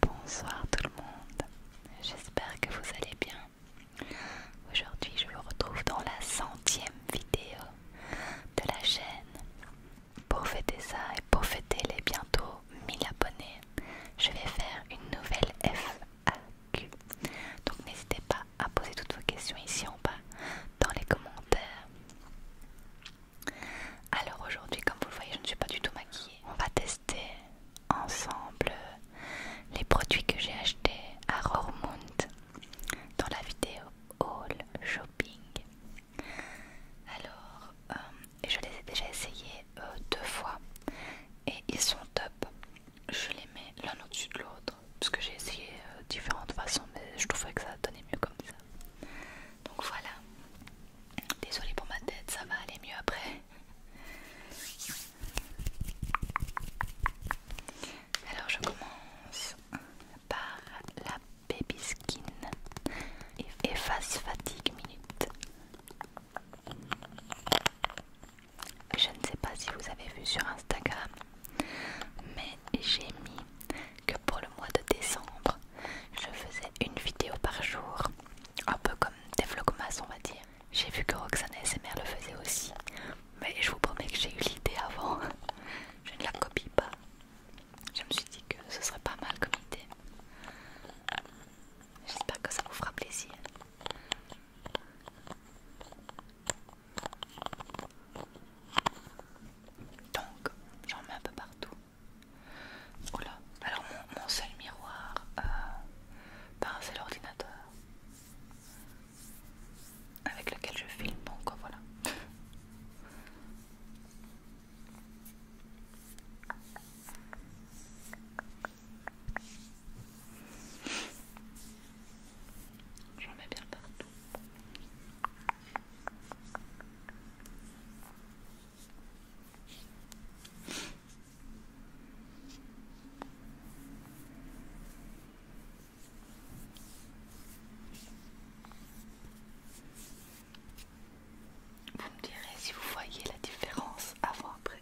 Bonsoir tout le monde, j'espère que vous allez bien. Aujourd'hui je vous retrouve dans la centième vidéo de la chaîne. Pour fêter ça et pour fêter les bientôt 1000 abonnés, je vais faire une nouvelle FAQ. Donc n'hésitez pas à poser toutes vos questions ici en bas dans les commentaires. Alors aujourd'hui, comme vous le voyez, je ne suis pas du tout maquillée. On va tester ensemble les produits que j'ai achetés à Rormund dans la vidéo haul shopping. Alors, euh, je les ai déjà essayés euh, deux fois et ils sont top. Je les mets l'un au-dessus de l'autre parce que j'ai essayé euh, différentes façons, mais je trouvais que ça donnait mieux comme ça. Donc voilà. Désolée pour ma tête, ça va aller mieux après. Alors je commence par la baby skin efface fatigue minute. Je ne sais pas si vous avez vu sur Instagram, mais j'ai mis que pour le mois de décembre, je faisais une vidéo par jour, un peu comme des vlogmas on va dire. J'ai vu que Roxane SMR le faisaient aussi, mais je vous promets que j'ai eu l'idée avant. Je ne la copie pas. Je me suis dit que ce serait pas mal comme idée. J'espère que ça vous fera plaisir. Donc, j'en mets un peu partout. Voilà. Oh alors mon, seul miroir, euh, un ben, seul ordinateur avec lequel je filme, donc oh, voilà. J'en mets bien partout. Vous me direz si vous voyez la différence avant après.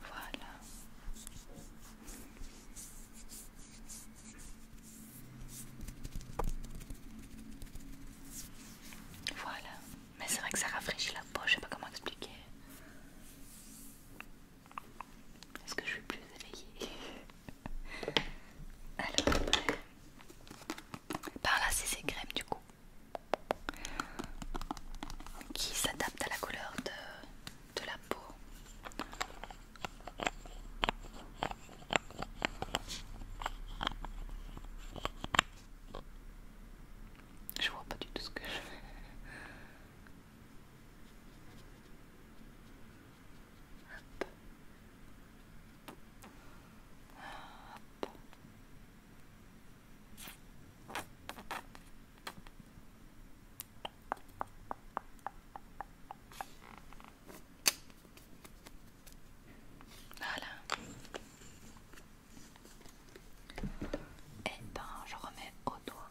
Voilà. Voilà. Mais c'est vrai que ça rafraîchit la peau, je sais pas comment expliquer. Est-ce que je suis plus éveillée Alors, par là c'est ces crèmes du coup qui s'adapte à la couleur de, la peau. Je vois pas du tout ce que je fais. Voilà. Et eh ben, je remets au doigt.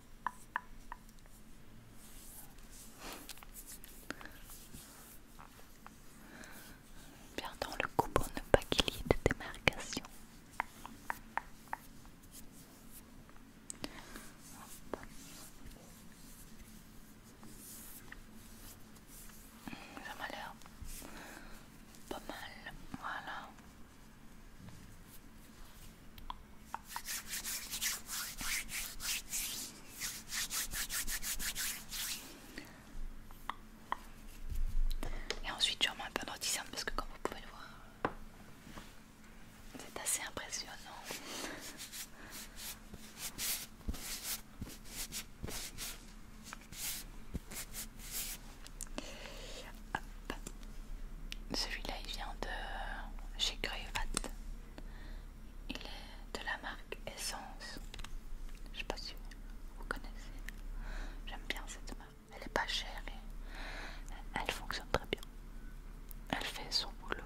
Perdons le coup pour ne pas qu'il y ait de démarcation. Ça m'a l'air pas mal, voilà. Et ensuite, je un peu parce que, comme vous pouvez le voir, c'est assez impressionnant. Celui-là il vient de chez Greyvat. Il est de la marque Essence. Je sais pas si vous connaissez. J'aime bien cette marque. Elle est pas chère et elle fonctionne très bien. Elle fait son boulot.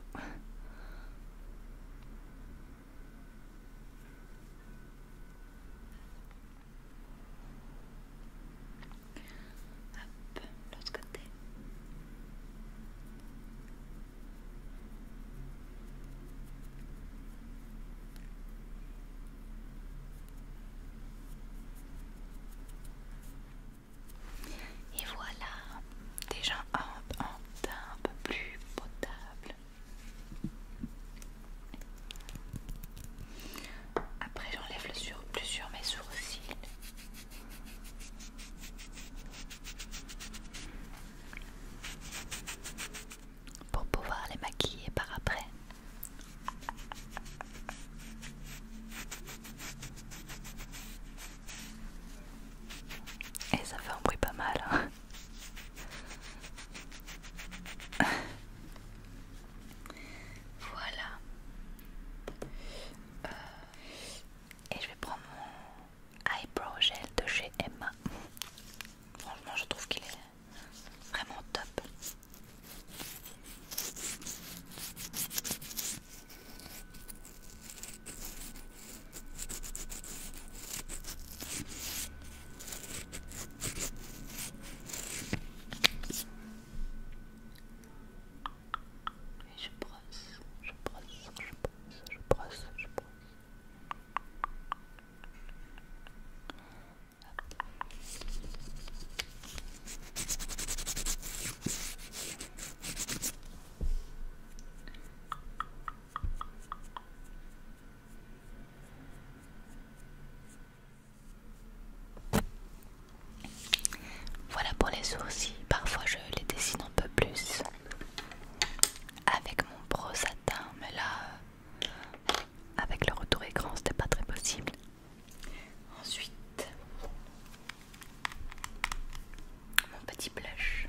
Hop, l'autre côté. Et voilà, déjà un, un un peu plus potable. Après, j'enlève le sur, sur mes sourcils pour pouvoir les maquiller par après. Et ça fait un bruit pas mal. Hein. Voilà. Euh, et je vais prendre mon eyebrow gel de chez Emma. Franchement, je trouve qu'il est vraiment top je brosse, je brosse, je brosse, je brosse, je brosse. Voilà pour les sourcils. Parfois je les dessine un peu plus avec mon brosse mais là, euh, avec le retour écran, c'était pas très possible. Ensuite, mon petit blush.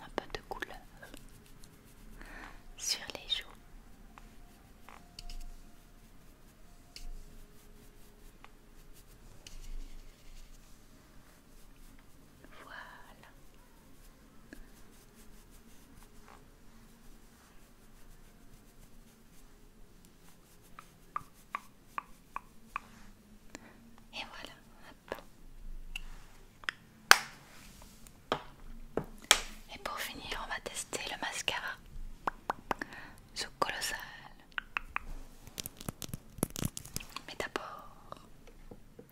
un peu de couleur sur les joues. Voilà. Et voilà. Et pour finir, on va tester le mascara. Ce colossal. Mais d'abord, Hop.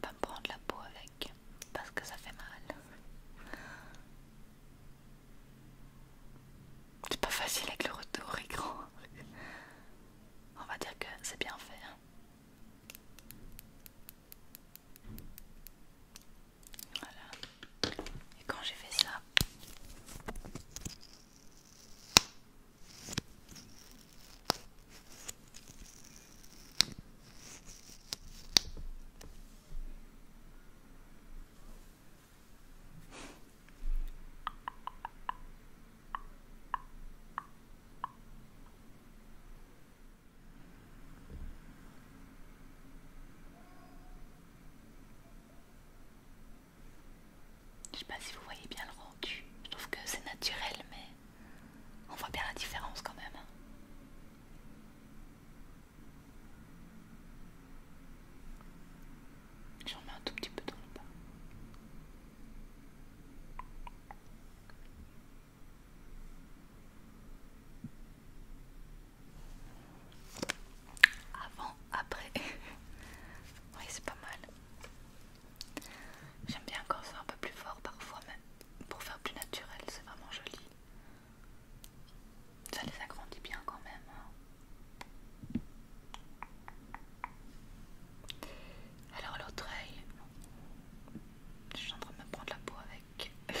Pas me prendre la peau avec parce que ça fait mal. C'est pas facile avec le retour écran. On va dire que c'est bien fait. Hein. Voilà. Et quand j'ai fait ça, je sais pas si vous voyez bien le rendu. Je trouve que c'est naturel, mais on voit bien la différence quand même. Hein. J'en mets un tout petit peu dans le bas. Avant, après. oui, c'est pas mal. J'aime bien quand c'est un peu plus fort parfois, même. pour faire plus naturel, c'est vraiment joli. Ça les agrandit bien quand même. Hein. Alors l'autre œil, je suis en train de me prendre la peau avec.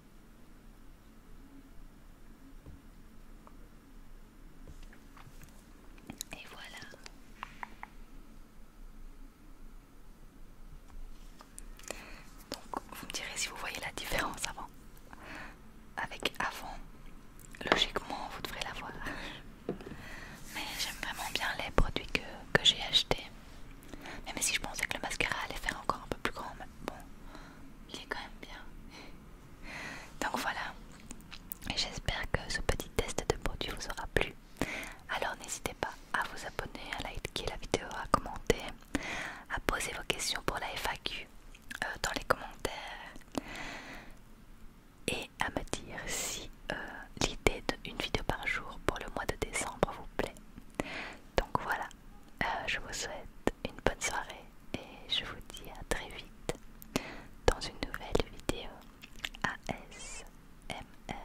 Et voilà. Donc vous me direz si vous voyez la différence avant. Avec avant, logiquement vous devrez la voir. Mais j'aime vraiment bien les produits que, que j'ai achetés. Même si je pensais que le mascara allait faire encore un peu plus grand, mais bon, il est quand même bien. Donc voilà, j'espère que ce petit test de produit vous aura plu. Alors n'hésitez pas à vous abonner, à liker la vidéo, à commenter, à poser vos questions pour la FAQ euh, dans les commentaires et à me dire si euh, l'idée d'une vidéo par jour pour le mois de décembre vous plaît. Donc voilà, euh, je vous souhaite une bonne soirée et je vous dis à très vite dans une nouvelle vidéo ASMR.